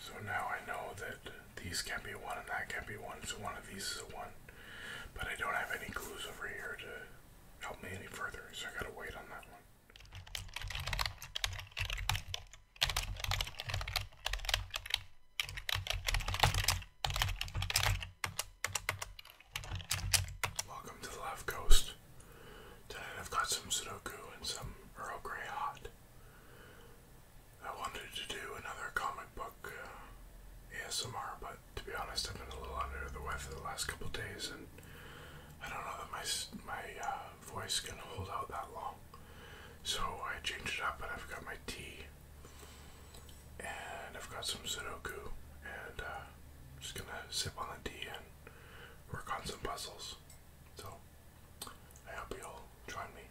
So now I know that these can be one and that can be one, so one of these is a one. But I don't have any clues over here to help me any further, so I gotta wait on that one. Welcome to the Left Coast. Tonight I've got some Sudoku and some Earl Grey Hot. I wanted to do another comic book uh, ASMR, but to be honest, I've been a little under the weather the last couple days, and I don't know that my my uh, voice can hold out that long. So I changed it up, and I've got my tea, and I've got some Sudoku, and I'm uh, just gonna sip on the tea and work on some puzzles. So I hope you'll join me.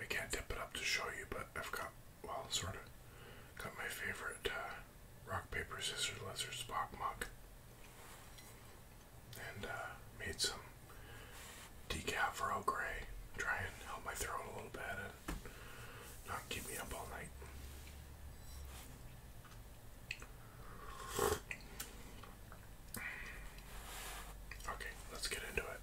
I can't tip it up to show you, but I've got, well, sort of, got my favorite uh, rock, paper, scissors, lizard, spock mug. And uh, made some decaf Earl Grey. Try and help my throat a little bit, not keep me up all night. Okay, let's get into it.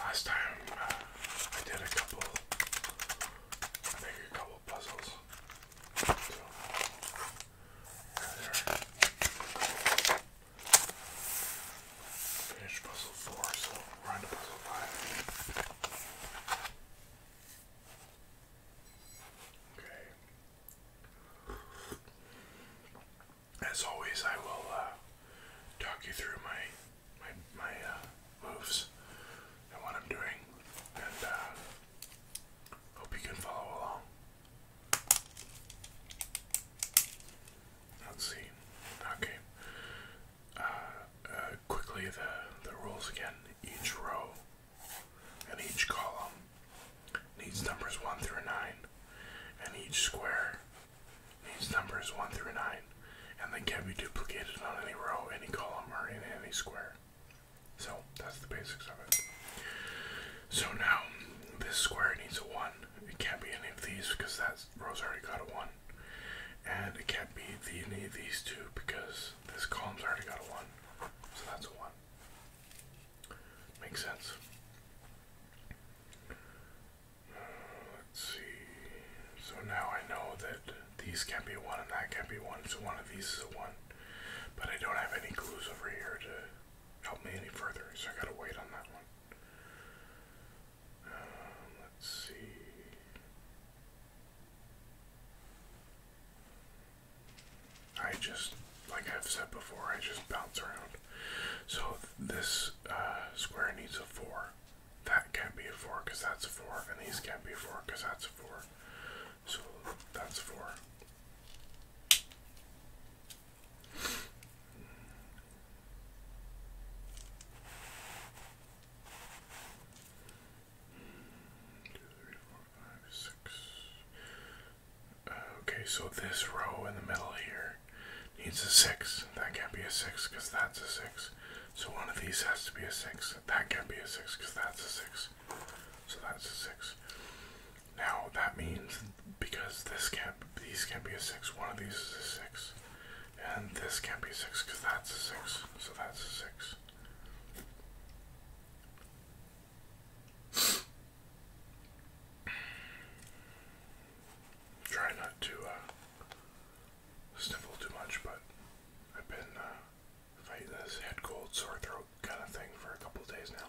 Last time uh, I did a couple, I a couple puzzles. So, there. Finish puzzle four, so we're on to puzzle five. Okay. As always, I will uh, talk you through my my my uh, moves and what I'm doing, and uh, hope you can follow along. Let's see. Okay. Uh, uh, quickly, the, the rules again. Each row and each column needs numbers 1 through 9, and each square needs numbers 1 through 9, and they can't be duplicated on any row, any column, or in any square. So, that's the basics of it. So now, this square needs a 1. It can't be any of these because that's. Rose already got a one, and it can't be any of these two because this column's already got a one, so that's a one. Makes sense. let's see. So now I know that these can't be a one and that can't be one, so one of these is a one, but I don't have any clues over here to help me any further, so I gotta wait on that one let's see. I just, like I've said before, I just bounce around. So this uh, square needs a 4. That can't be a 4 because that's a 4. And these can't be a 4 because that's a 4. So that's 4. Uh, okay, so this row in the middle here needs a six. That can't be a six because that's a six. So one of these has to be a six. That can't be a six because that's a six. So that's a six. Now that means because this can't these can't be a six. One of these is a six, and this can't be a six because that's a six. So that's a six. Try not to uh, sniffle too much, but I've been uh, fighting this head cold, sore throat kind of thing for a couple days now.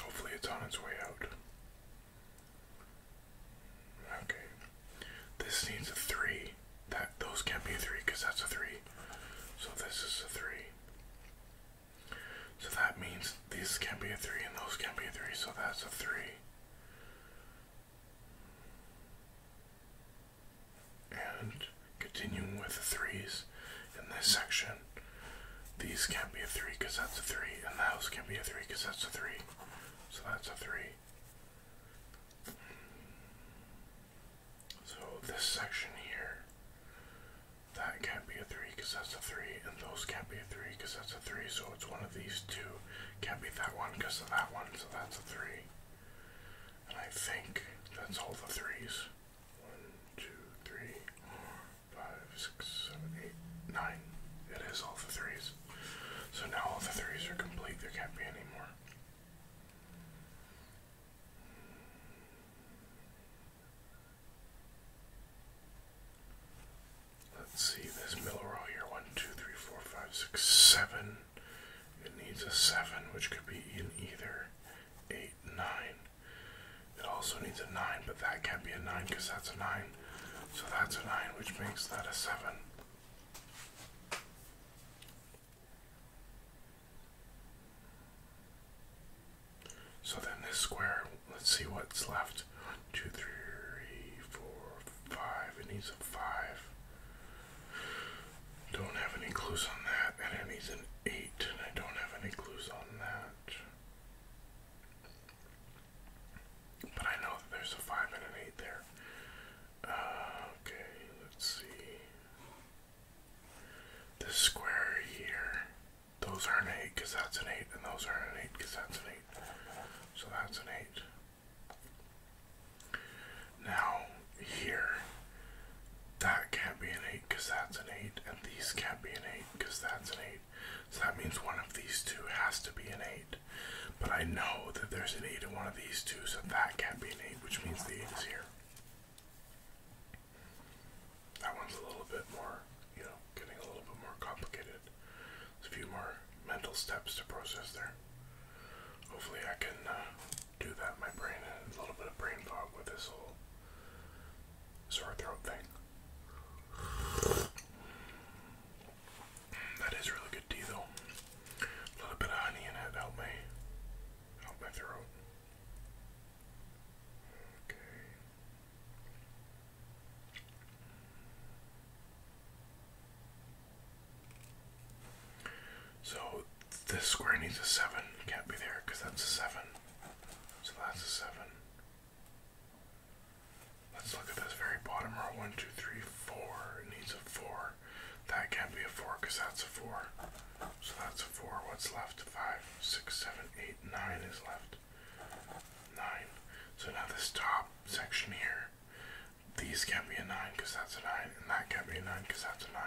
Hopefully, it's on its way out. Okay, this needs a three. That those can't be a three because that's a three. So this is a three. So that means these can't be a three and those can't be a three. So that's a three. And continuing with the threes in this section, these can't be a three because that's a three, and the house can't be a three because that's a three. So that's a three. So this section here, that can't be a three because that's a three, and those can't be a three because that's a three. So it's one of these two. Can't be that one because of that one. So that's a three. And I think that's all the threes. One, two, three, four, five, six, seven, eight, nine. It is all the threes. So now all the threes are complete. There can't be any more. Let's see this Milroy here. One, two, three, four, five, six, seven. It needs a 7, which could be in either 8, 9. It also needs a 9, but that can't be a 9 because that's a 9. So that's a 9, which makes that a 7. So then this square, let's see what's left. 1, 2, 3, 4, 5. It needs a 5. Don't have any clues on that. And it needs an 8, I don't have any clues on that. But I know that there's a 5 and an 8 there. Uh, okay, let's see. This square here, those are an 8 because that's an 8, and those are an 8 because that's an 8. So that's an 8. Now, here, that can't be an 8 because that's an 8, and these can't be an 8 because that's an 8. So that means one of these two has to be an 8. But I know that there's an 8 in one of these two, so that can't be an 8, which means the 8 is here. That one's a little bit more, you know, getting a little bit more complicated. There's a few more mental steps to process there. Hopefully, I can uh, do that. My brain and a little bit of brain fog with this whole sore throat thing. That is really good tea, though. A little bit of honey in it help my help my throat. Okay. So this square needs a 7. Can't be there because that's a 7. So that's a 7. Let's look at this very bottom row. 1, 2, 3, 4. needs a 4. That can't be a 4 because that's a 4. So that's a 4. What's left? 5, 6, 7, 8, 9 is left. 9. So now this top section here, these can't be a 9 because that's a 9, and that can't be a 9 because that's a 9.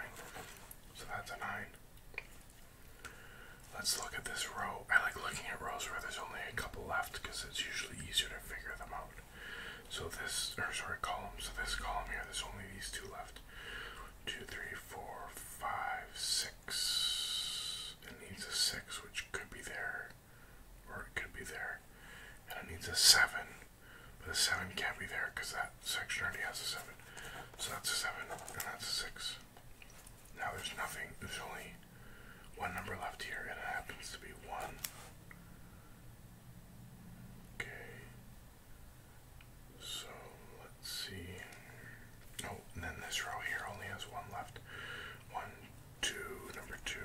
So that's a 9. Let's look at this row. I like looking at rows where there's only a couple left because it's usually easier to figure them out. So this, or sorry, columns. So this column here, there's only these two left. Two, three, four, five, six. It needs a six, which could be there, or it could be there. And it needs a seven, but a 7 can't be there because that section already has a 7. So that's a 7 and that's a 6. Now there's nothing. There's only one number left here and it happens to be 1. Okay. So let's see. Oh, and then this row here only has one left. One, two, number two.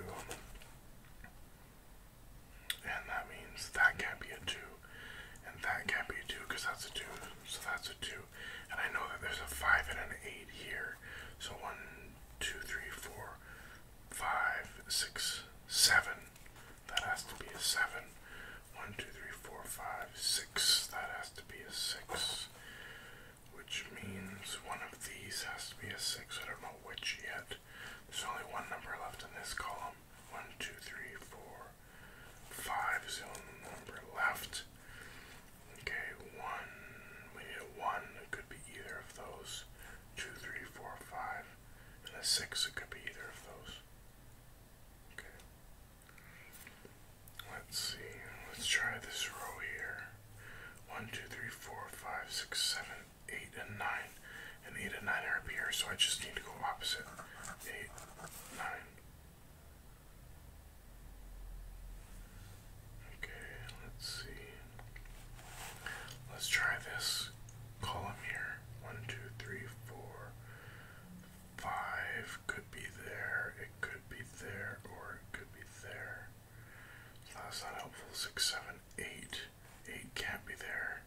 And that means that can't be a 2. And that can't be a 2 because that's a 2. So that's a 2. And I know that there's a 5 and an 8 here. So 1, 2, 3, 4, 5, 6, 7. That has to be a 7. 1, 2, 3, 4, 5, 6. That has to be a 6. Which means one of these has to be a 6. I don't know which yet. There's only one number left in this column. One, two, three, four, five is the only number left. Okay, one, we need a one. It could be either of those. Two, three, four, five. And a six, it could be either of those. Okay. Let's see. Let's try this row here. One, two, three, four, five, six, seven, 8 and 9. And 8 and 9 are up here, so I just need to go opposite. 8, 9. Okay, let's see. Let's try this column here. 1, 2, 3, 4, 5. Could be there, it could be there, or it could be there that's not helpful. Six, seven, eight. Eight can't be there.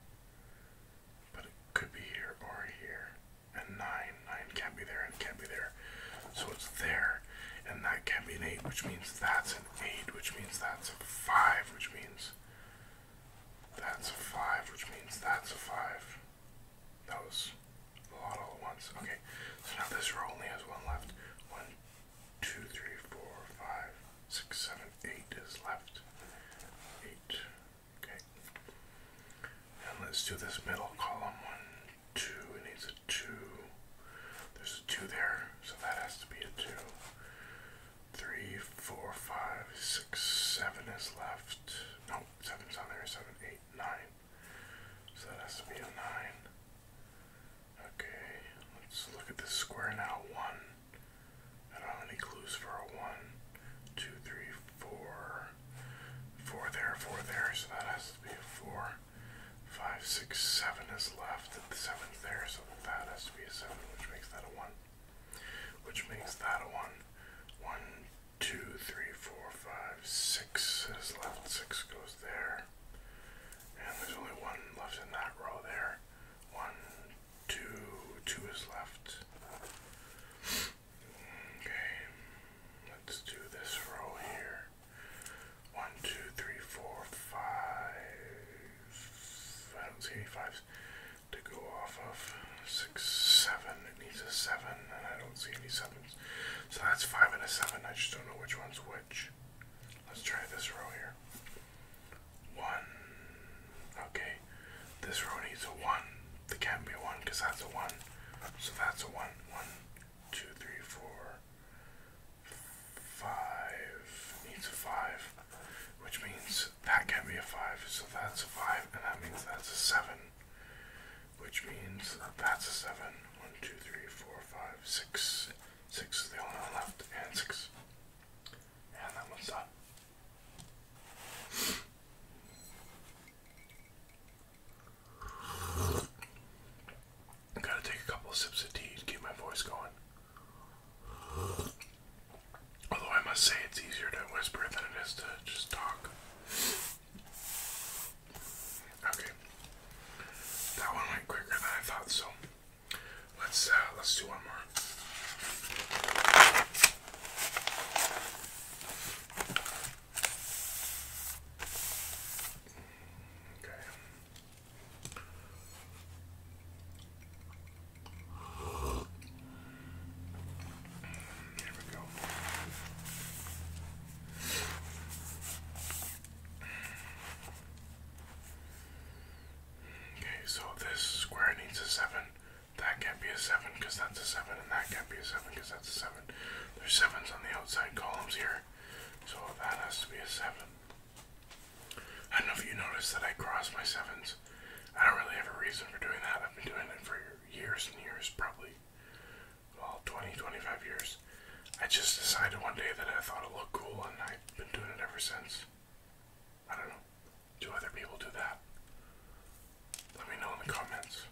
But it could be here or here. And nine. Nine can't be there and can't be there. So it's there. And that can't be an eight, which means that's an eight, which means that's a five, which means that's a five, which means that's a five. That was a lot all at once. Okay, so now this row only has one left. One, two, three, four, five, six, seven, eight is left. Eight. Okay. And let's do this middle column. One, two. It needs a two. There's a two there, so that has to be a two. Three, four, five, six, seven is left. No, seven's on there. Seven, eight, nine. So that has to be a nine. Okay, let's look at this square now. One. I don't have any clues for a one, two, three, four. Four there, four there, so that has to be a four. Five, six, seven is left. The seven's there, so that has to be a seven, which makes that a one. Which makes that a one. One, two, three, four, five, six is left. Six goes there. And there's only one left in that row there. One, two, two is left. Okay, let's do this row here. One, two, three, four, five. I don't see any fives to go off of. Six, seven. It needs a seven, and I don't see any sevens. So that's five and a seven. I just don't know which one's which. Let's try this row here. One. Okay. This row needs a one. There can't be a one because that's a one. So that's a one. One, two, three, four, five. Needs a five. Which means that can't be a five. So that's a five. And that means that's a seven. Which means that's a seven. One, two, three, four, five, six. Six is the only one left, and six. And that one's done. I gotta take a couple sips of tea to keep my voice going. Although I must say it's easier to whisper than it is to just talk. Okay. That one went quicker than I thought, so Let's uh, let's do one more. Okay. There we go. Okay, so this square needs a 7. That can't be a 7 because that's a 7, and that can't be a 7 because that's a 7. There's 7s on the outside columns here, so that has to be a 7. I don't know if you noticed that I cross my 7s. I don't really have a reason for doing that. I've been doing it for years and years, probably well, 20, 25 years. I just decided one day that I thought it looked cool, and I've been doing it ever since. I don't know. Do other people do that? Let me know in the comments.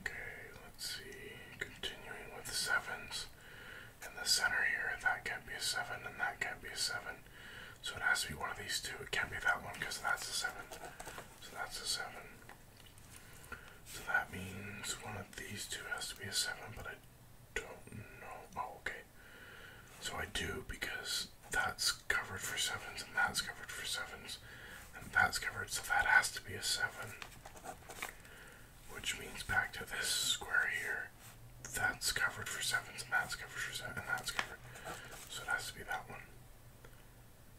Okay, let's see. Continuing with sevens. In the center here, that can't be a seven, and that can't be a seven. So it has to be one of these two. It can't be that one because that's a seven. So that's a seven. So that means one of these two has to be a 7, but I don't know. Oh, okay. So I do because that's covered for 7s, and that's covered for 7s, and that's covered, so that has to be a 7. Which means back to this square here. That's covered for 7s, and that's covered for sevens, and that's covered. So it has to be that one.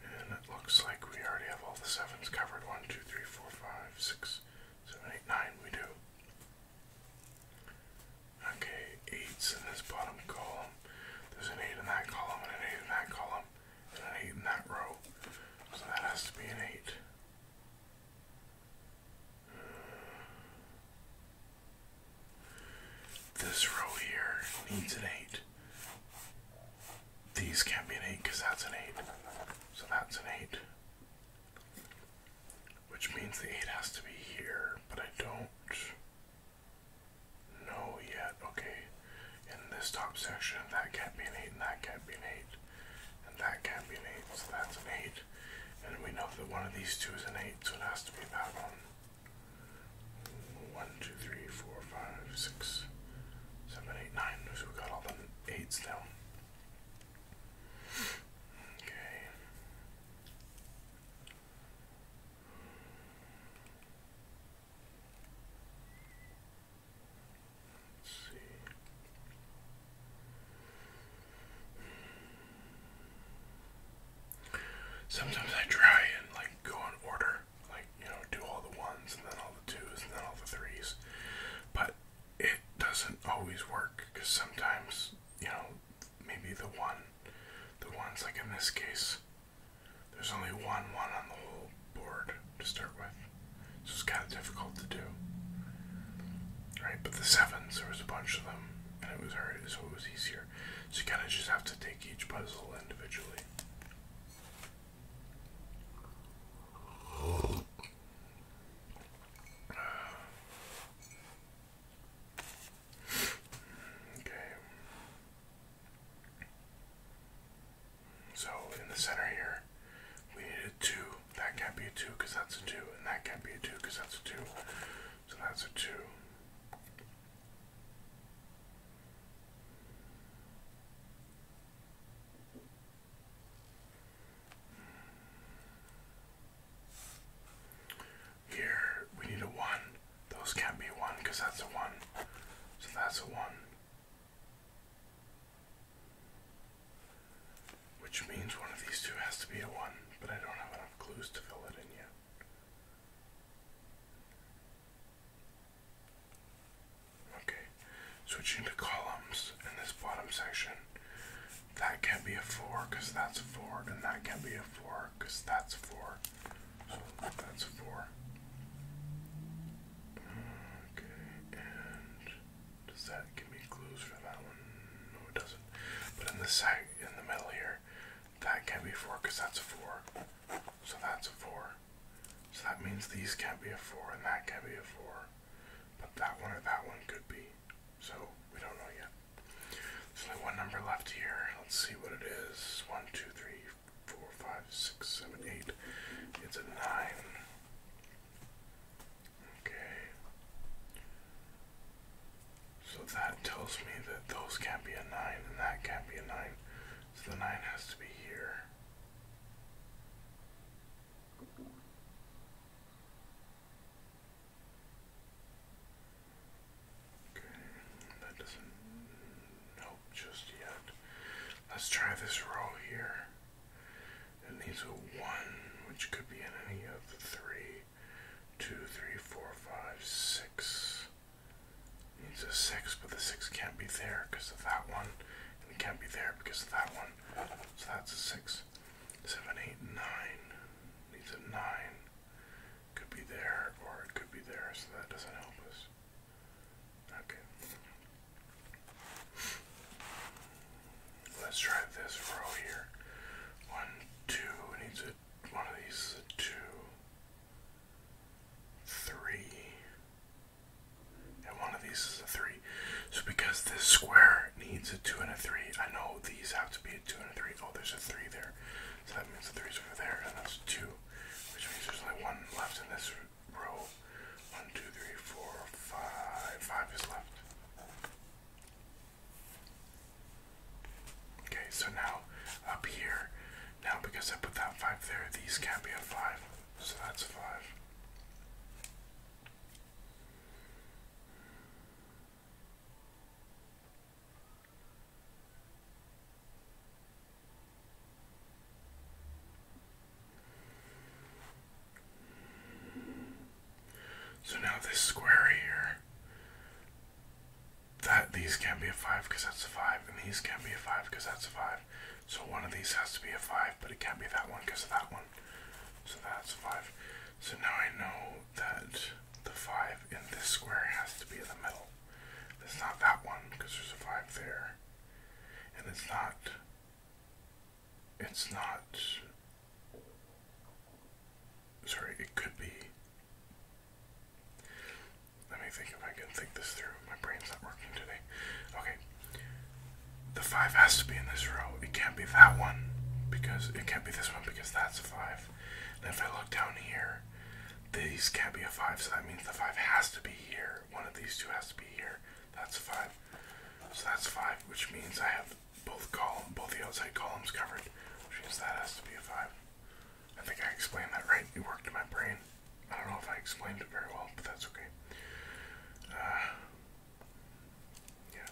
And it looks like we already have all the sevens covered. One, two, three, four, five, six, seven, eight, nine. We do. Okay, eights in this bottom column. There's an eight in that column, and an eight in that column, and an eight in that row. So that has to be an eight. This row here needs an eight. These can't be an 8 because that's an 8. So that's an 8. Which means the 8 has to be here, but I don't know yet. Okay, in this top section, that can't be an 8, and that can't be an 8, and that can't be an 8, so that's an 8. And we know that one of these two is an 8, so it has to be that one. 1, 2, 3, 4, 5, 6, seven, eight, nine. So we got all the eights down. Okay. Let's see. Sometimes I try and like go in order like, you know, do all the ones and then all the twos and then all the threes. But it doesn't always work because sometimes, you know, maybe the one, the ones like in this case, there's only one one on the whole board to start with. So it's kind of difficult to do. Right, but the sevens, there was a bunch of them, and it was alright, so it was easier. So you kind of just have to take each puzzle individually. Okay. So in the center here, we need a 2. That can't be a 2 because that's a 2. And that can't be a 2 because that's a 2. So that's a 2. Here we need a one. Those can't be one because that's a one. So that's a one. Which means one of these two has to be a one, but I don't have enough clues to fill it in yet. Okay, switching to columns in this bottom section. That can be a 4 because that's a 4, and that can be a 4 because that's a 4. So that's a 4. Okay, does that give me clues for that one? No, it doesn't. But in the side, in the middle here, that can be a 4 because that's a 4. So that's a 4. So that means these can't be a 4 and that can't be a 4. But that one or that one could be. So we don't know yet. There's only one number left here. Let's see what it is. 1, 2, 3, 4, 5, 6, 7, 8. It's a 9. Okay. So that tells me that those can't be a 9 and that can't be a 9. So the 9 has to be here. Okay, that doesn't help just yet. Let's try this roll here. It needs a 1, which could be in any of the three, two, three, four, five, six needs a 6, but the 6 can't be there because of that one, and it can't be there because of that one. So that's a 6. 7, needs a 9. Could be there, or it could be there, so that doesn't help us. Okay. Let's try this row here. One, two, it needs a one of these two three. And one of these is a three. So because this square needs a two and a three, I know these have to be a two and a three. Oh, there's a three there. So that means the three's over there, and that's two. Which means there's only one left in this row. One, two, three, four, five. Five is left. Okay, so now up here now because I put that 5 there, these can't be a 5, so that's a 5. So now this square here, that these can't be a five because that's a five, and these can't be a five because that's a five. So one of these has to be a 5, but it can't be that one because of that one. So that's a 5. So now I know that the 5 in this square has to be in the middle. It's not that one because there's a 5 there. And it's not. It's not. Sorry, it could be. Let me think if I can think this through. My brain's not working today. Okay. The five has to be in this row. It can't be that one because it can't be this one because that's a five. And if I look down here, these can't be a five, so that means the five has to be here. One of these two has to be here. That's five. So that's five, which means I have both column both the outside columns covered, which means that has to be a five. I think I explained that right. It worked in my brain. I don't know if I explained it very well, but that's okay. Uh, yeah.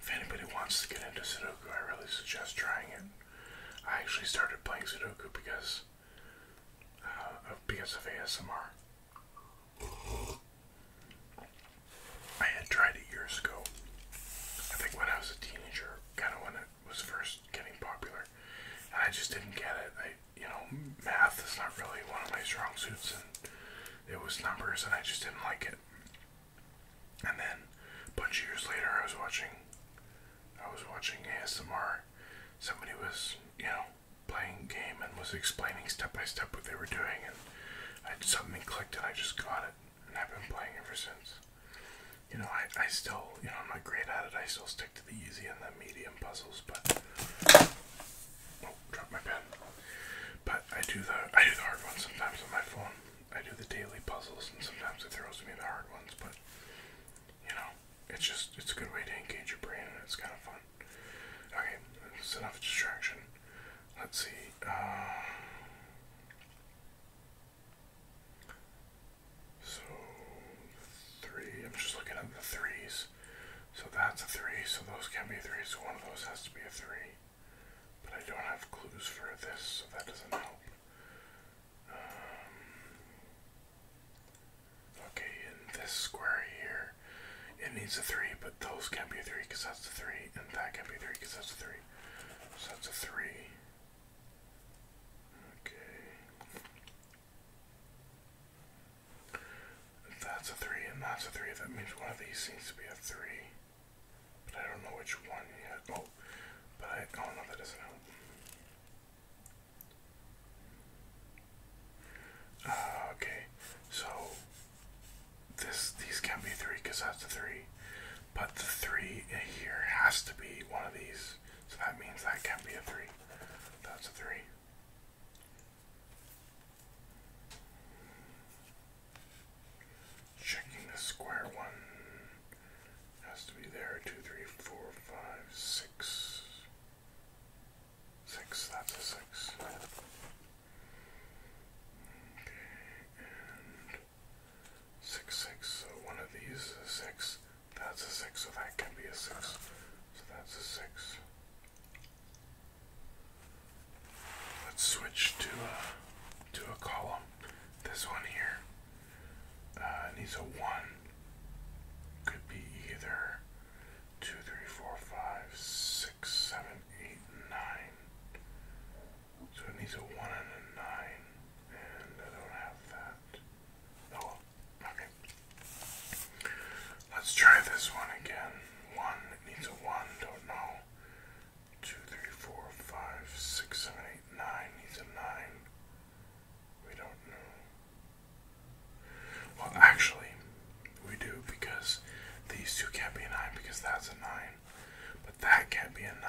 If anybody wants to get into Sudoku, I really suggest trying it. I actually started playing Sudoku because uh, of because of ASMR. I had tried it years ago. I think when I was a teenager, kind of when it was first getting popular, and I just didn't get it. I, you know, math is not really one of my strong suits, and it was numbers, and I just didn't like it. And then, a bunch of years later, I was watching, I was watching ASMR. Somebody was, you know, playing game and was explaining step by step what they were doing, and I something clicked, and I just got it, and I've been playing ever since you know, I, I still, you know, I'm not great at it. I still stick to the easy and the medium puzzles, but oh, drop my pen. But I do the I do the hard ones sometimes on my phone. I do the daily puzzles, and sometimes it throws me the hard ones. But you know, it's just it's a good way to engage your brain, and it's kind of fun. Okay, it's enough distraction. Let's see. Uh, so three. I'm just looking at the threes. So that's a three. So those can be threes. So one of those has to be a three. But I don't have clues for this, so that doesn't help. Um, okay, in this square here, it needs a three, but those can be three because that's a three, and that can be three because that's a three. So that's a three. Okay. That's a three and that's a three. That means one of these seems to be a three. But I don't know which one yet. Oh, but I oh no, that doesn't help. Uh, okay, so this these can't be three because that's a three. But the three here has to be one of these. So that means that can't be a three. That's a three. Checking the square one. Has to be there. Two, three, four, that's a six. Six, six. So one of these is a six. That's a six, so that can be a six. So that's a six. Let's switch to a to a column. This one here uh, needs a one. Could be either two, three, four, five, six, seven, eight, nine. So it needs a 1 and a 9, and I don't have that. Oh okay. Let's try this one again. 1, needs a 1, don't know. 2, 3, 4, 5, 6, 7, 8, 9, needs a 9. We don't know. Well, actually, we do because these two can't be a 9 because that's a 9. But that can't be a 9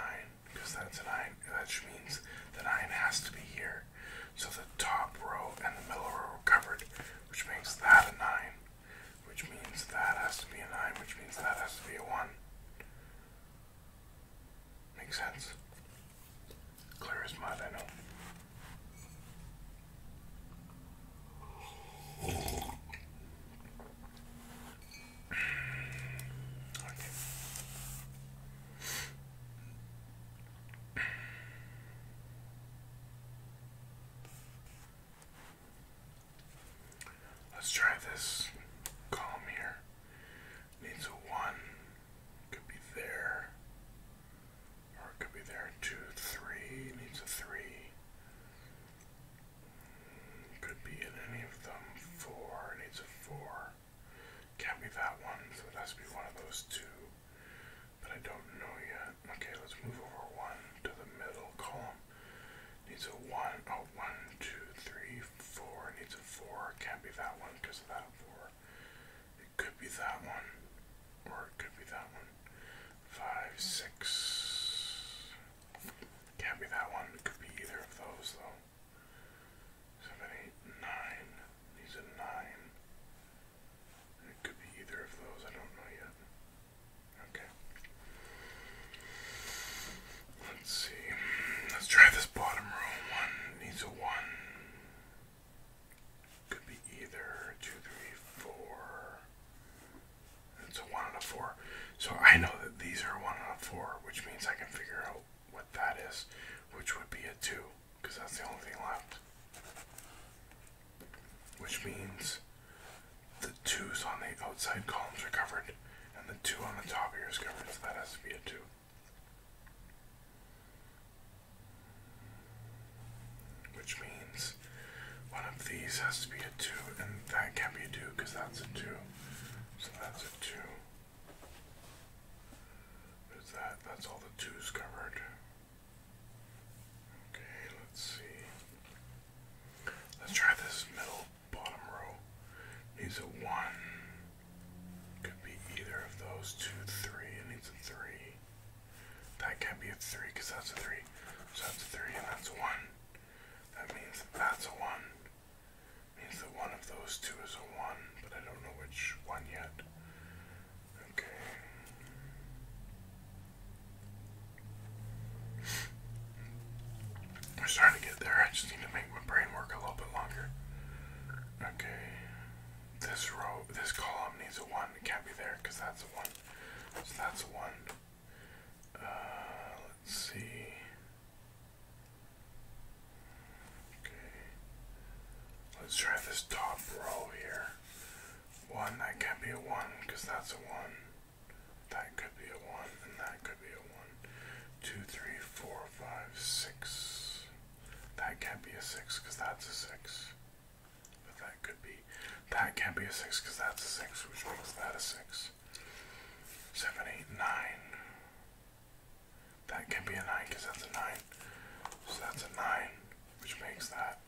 because that's an nine. which means the nine has to be here. So the top row and the middle row are covered, which makes that a 9, which means that has to be a 9, which means that has to be a 1. Makes sense. Clear as mud, I know. Let's try this column here. Needs a one. Could be there. Or it could be there. Two, three. Needs a three. Could be in any of them. Four. It needs a four. Can't be that one, so it has to be one of those two. But I don't know yet. Okay, let's move over one to the middle column. Needs a one. Oh, one, two, three, four. Needs a four. Can't be that one because of that four. It could be that one. Or it could be that one. Five, six. Can't be that one. It could be either of those, though. Seven, eight, nine. These are nine. It could be either of those. I don't know yet. Okay. Let's see. Let's try this bottom row. One needs a one. Could be either. Two, three, four. It's a 1 out of 4. So I know that these are 1 and a 4, which means I can figure out what that is, which would be a 2, because that's the only thing left. Which means the 2's on the outside columns are covered, and the 2 on the top here is covered, so that has to be a 2. Which means one of these has to be a 2, and that can't be a 2 because that's a 2. So that's a two. Is that? That's all the twos covered. Okay, let's see. Let's try this middle bottom row. Needs a one. Could be either of those two, three. It needs a three. That can't be a three because that's a three. So that's a three and that's a one. That means that's a one. Means that one of those two is a 1, but I don't know which one yet. Okay. We're starting to get there. I just need to make my brain work a little bit longer. Okay. This row, this column needs a 1. It can't be there because that's a 1. So that's a 1. Uh, let's see. Okay. Let's try this top row here. One, that can't be a one because that's a one. That could be a one, and that could be a one. Two, three, four, five, six. That can't be a six because that's a six. But that could be. That can't be a six because that's a six, which makes that a six seven, eight, nine. That can be a nine because that's a nine. So that's a nine, which makes that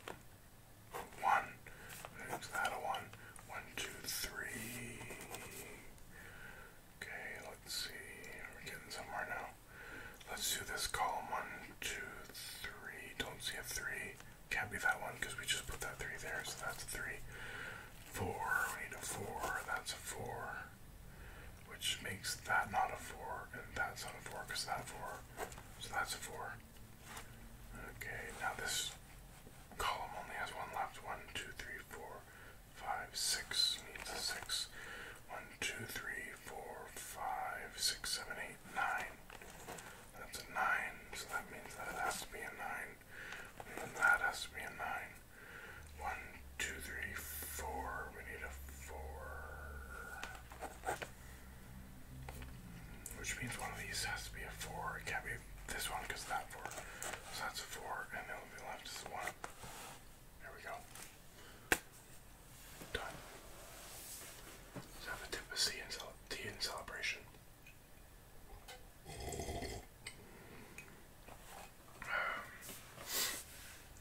one. Which makes that a one. One, two, three. Okay, let's see. We're getting somewhere now. Let's do this column. One, two, three. Don't see a three. Can't be that one because we just put that three there, so that's a three four. need a four. That's a four. Which makes that not a four, and that's not a four, because that four. So that's a four. Okay, now this column only has one left. One, two, three, four, five, six. Needs a six. One, two, three, four, five, six, seven, eight, nine. That's a nine, so that means that has to be a nine that has to be a nine. One, two, three, four. We need a four. Which means one of these has to be a four. It can't be this one because that four. So that's a four, and then we left is one. There we go. Done. So tip of tea in, cele in celebration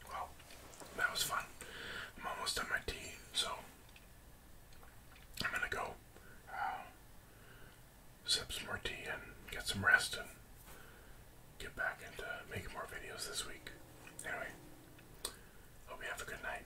well, that was fun. I'm almost done my tea, so I'm gonna go uh, sip some more tea and get some rest and get back into making more videos this week. Anyway, hope you have a good night.